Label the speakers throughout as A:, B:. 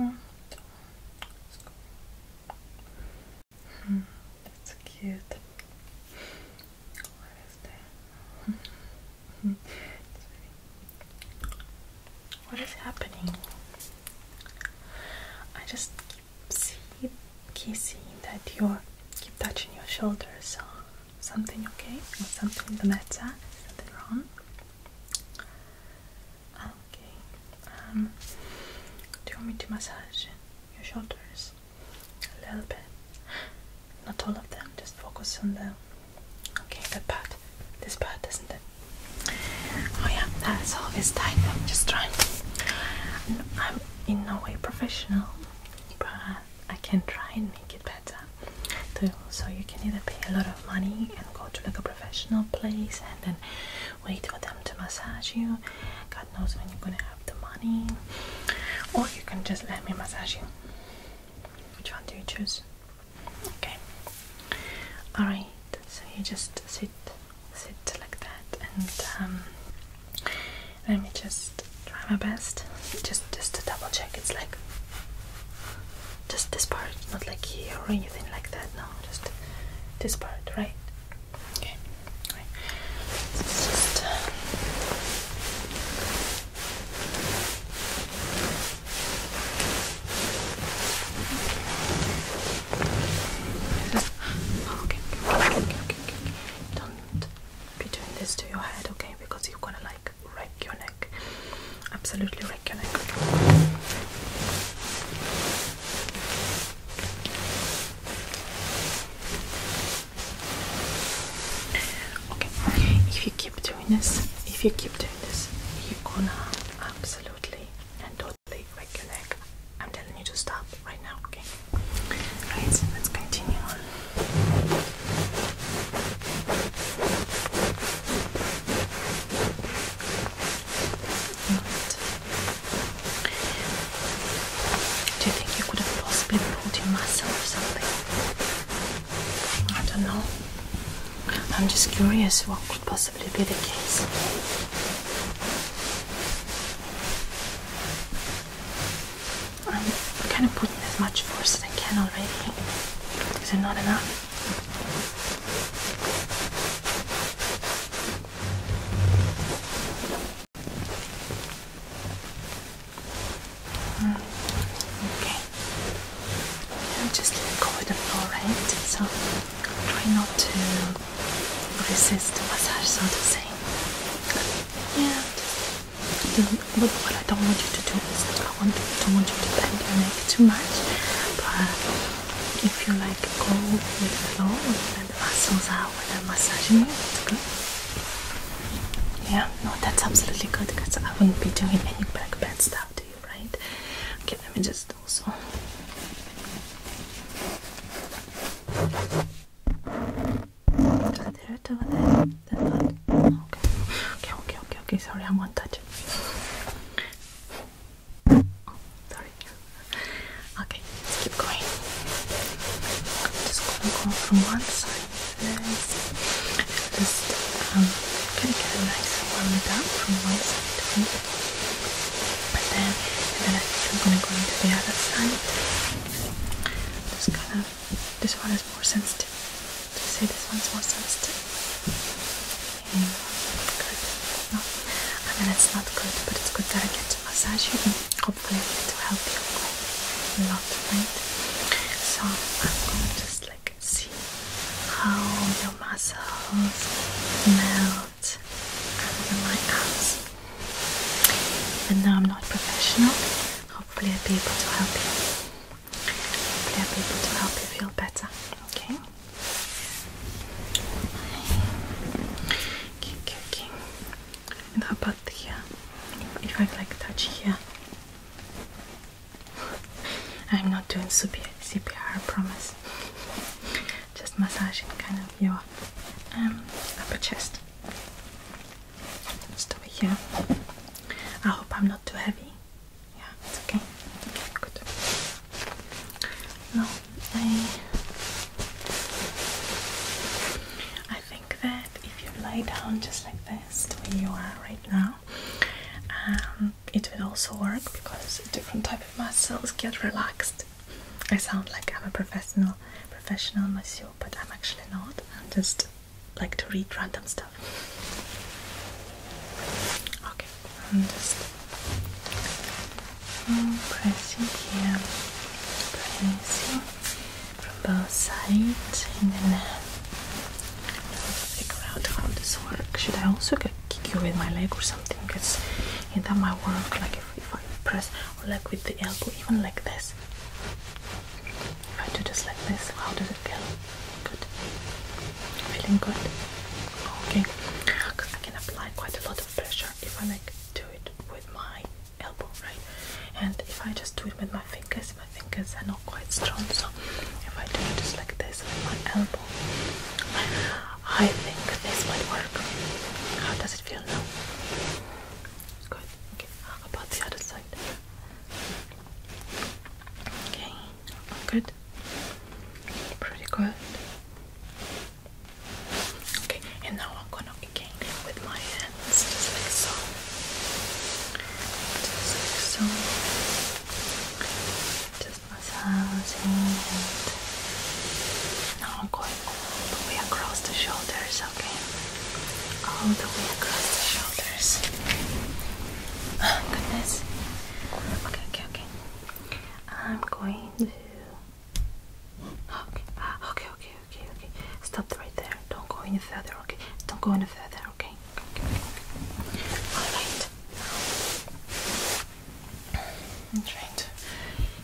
A: Oh, that's cute. What is happening? I just keep see, kissing that you keep touching your shoulders something okay or something the matter, something wrong. Okay. Um, do you want me to massage your shoulders a little bit? Not all of them. Just focus on the okay that part. This part, isn't it? Oh yeah, that's always tight. I'm just trying. I'm in no way professional, but I can try and make it better too. So you can either pay a lot of money and go to like a professional place and then wait for them to massage you. God knows when you're gonna have the money. Or you can just let me massage you. Which one do you choose? Okay. Alright, so you just sit sit like that and um, let me just try my best just just to double check it's like just this part not like here or anything like that no just this part right okay just okay, okay, okay, Don't be doing this to your head, okay? Because you're gonna like neck, your neck, absolutely wreck your neck. Okay, if you keep doing this, if you keep doing this, you're gonna absolutely and totally wreck your neck. I'm telling you to stop right now, okay? Right, let's continue on. Do you think you could have possibly pulled your or something? I don't know. I'm just curious what could possibly be the case. I'm kind of putting as much force as I can already. Is it not enough? Mm, okay. Yeah, just let go the floor, right? So try not to resist the massage, so to say. Yeah, what I don't want you to do is I don't want you to bend your neck too much. But if you like go with the flow and the muscles are when I'm massaging you, it's good. Yeah, no, that's absolutely good because I wouldn't be doing any back bend stuff to you, right? Okay, let me just also. Okay, okay, okay, okay, Sorry, I'm one touch. Oh, sorry. Okay, let's keep going. I'm just gonna go from one side this. Just um, gonna get a nice round up from one side to the other. And then, and then I'm gonna go into the other side. Just kind of this one is more sensitive. Do you say this one's more sensitive? good. No, I mean it's not good, but it's good that I get to massage you and hopefully to help you quite a lot, right? So I'm gonna just like see how your muscles melt under my arms. And now I'm not professional. Hopefully, I'll be able to help you. Hopefully, I'll be able to help you feel better. Okay. Okay, okay, And how about here? Uh, if I like touch here. I'm not doing CPR, I promise. Just massaging kind of your um, upper chest. Just over here. I hope I'm not too heavy. Yeah, it's okay. Okay, good. No, I I think that if you lie down just like this, the way you are right now, um, it will also work because different type of muscles get relaxed. I sound like I'm a professional professional masseur but I'm actually not. i just like to read random stuff. Okay, I'm just pressing here, pressing from both sides, and then uh, figure out how this works. Should I also get, kick you with my leg or something? Because that might work. Like if, if I press, like with the elbow, even like this. If I do just like this, how does it feel? Good. Feeling good? Okay. Because I can apply quite a lot of pressure if I like do it with my elbow, right? And if I just do it with my fingers, my fingers are not quite strong. So if I do it just like this with my elbow, I think this might work. How does it feel now? Good. Okay. About the other side. Okay. Good. Pretty good. Okay. And now I'm gonna again with my hands, just like so. Just like so. Just massaging and now I'm going all the way across the shoulders, okay? All the way across the shoulders. Oh, goodness. Okay, okay, okay. I'm going to. Okay, okay, okay, okay, okay. Stop right there. Don't go any further, okay? Don't go any further, okay? okay, okay. Alright. I'm trying to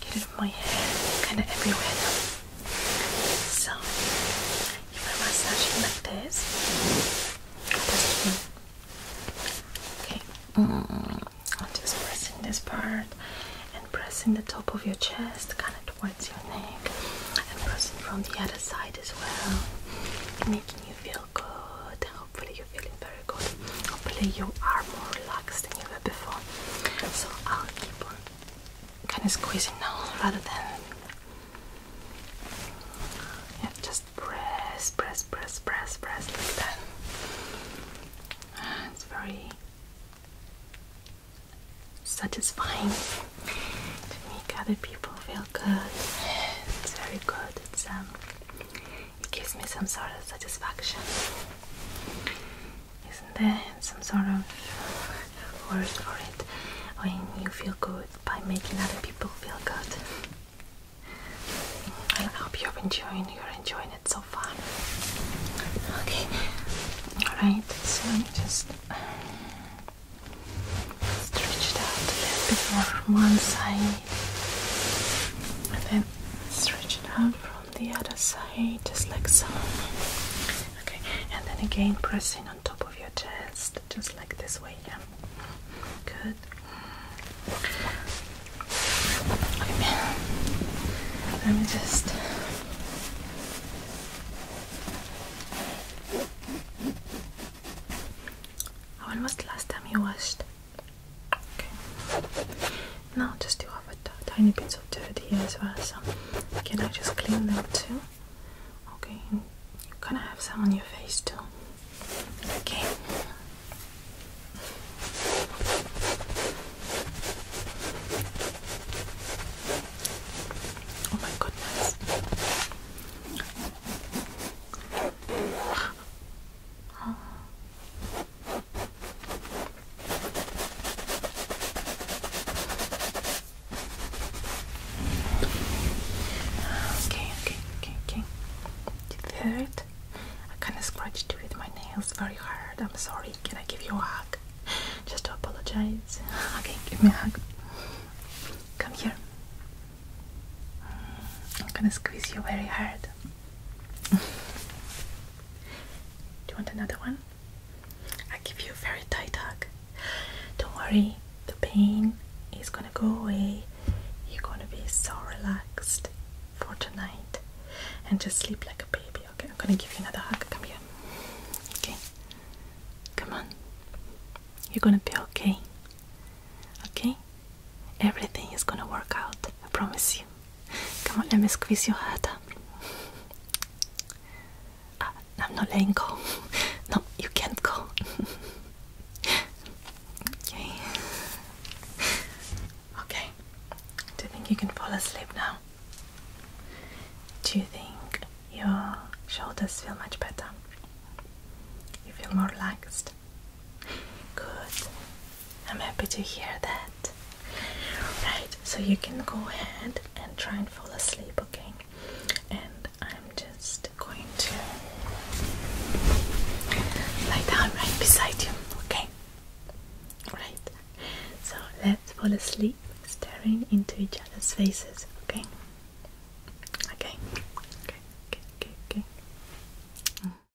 A: get it in my hair, kind of everywhere now. So, you want to like this? Okay, mm. I'm just pressing this part and pressing the top of your chest kind of towards your neck and pressing from the other side as well. Making you feel good. Hopefully, you're feeling very good. Hopefully, you are more relaxed than you were before. So, I'll kind of squeezing now rather than yeah, just press, press, press, press, press like that. It's very satisfying to make other people feel good. It's very good. It's um, it gives me some sort of satisfaction. Isn't there some sort of word for it when you feel good by making other people feel good? I hope you're enjoying you're enjoying it so far. Okay. Alright, so let me just stretch it out a little bit more one side and then stretch it out the other side, just like so. Okay, and then again pressing on top of your chest, just like this way, yeah. Good. Let me just when was the last time you washed? Okay. Now just do have a tiny bits of dirt here as well. So can I just clean them too? Okay. And you're gonna have some on your face too. Okay. Oh my goodness. Oh. Okay, okay, okay, okay. Did you hear it? I kinda scratched you with my nails very hard. I'm sorry. Can I give you a hug? Just to apologize. Okay, give me a hug. Come here. I'm gonna squeeze you very hard. Do you want another one? I give you a very tight hug. Don't worry, the pain is gonna go away. You're gonna be so relaxed for tonight and just sleep like a baby. Okay, I'm gonna give you another hug. Come here. Okay, come on. You're gonna be okay. Okay, Everything is gonna work out, I promise you. Come on, let me squeeze your head. Ah, I'm not letting go. No, you can't go. okay. Okay. Do you think you can fall asleep now? Do you think your shoulders feel much better? You feel more relaxed? Good. I'm happy to hear that. Right, so you can go ahead and try and fall asleep, okay? And I'm just going to lie down right beside you, okay? Right, so let's fall asleep staring into each other's faces, okay? Okay, okay, okay, okay. okay. Mm.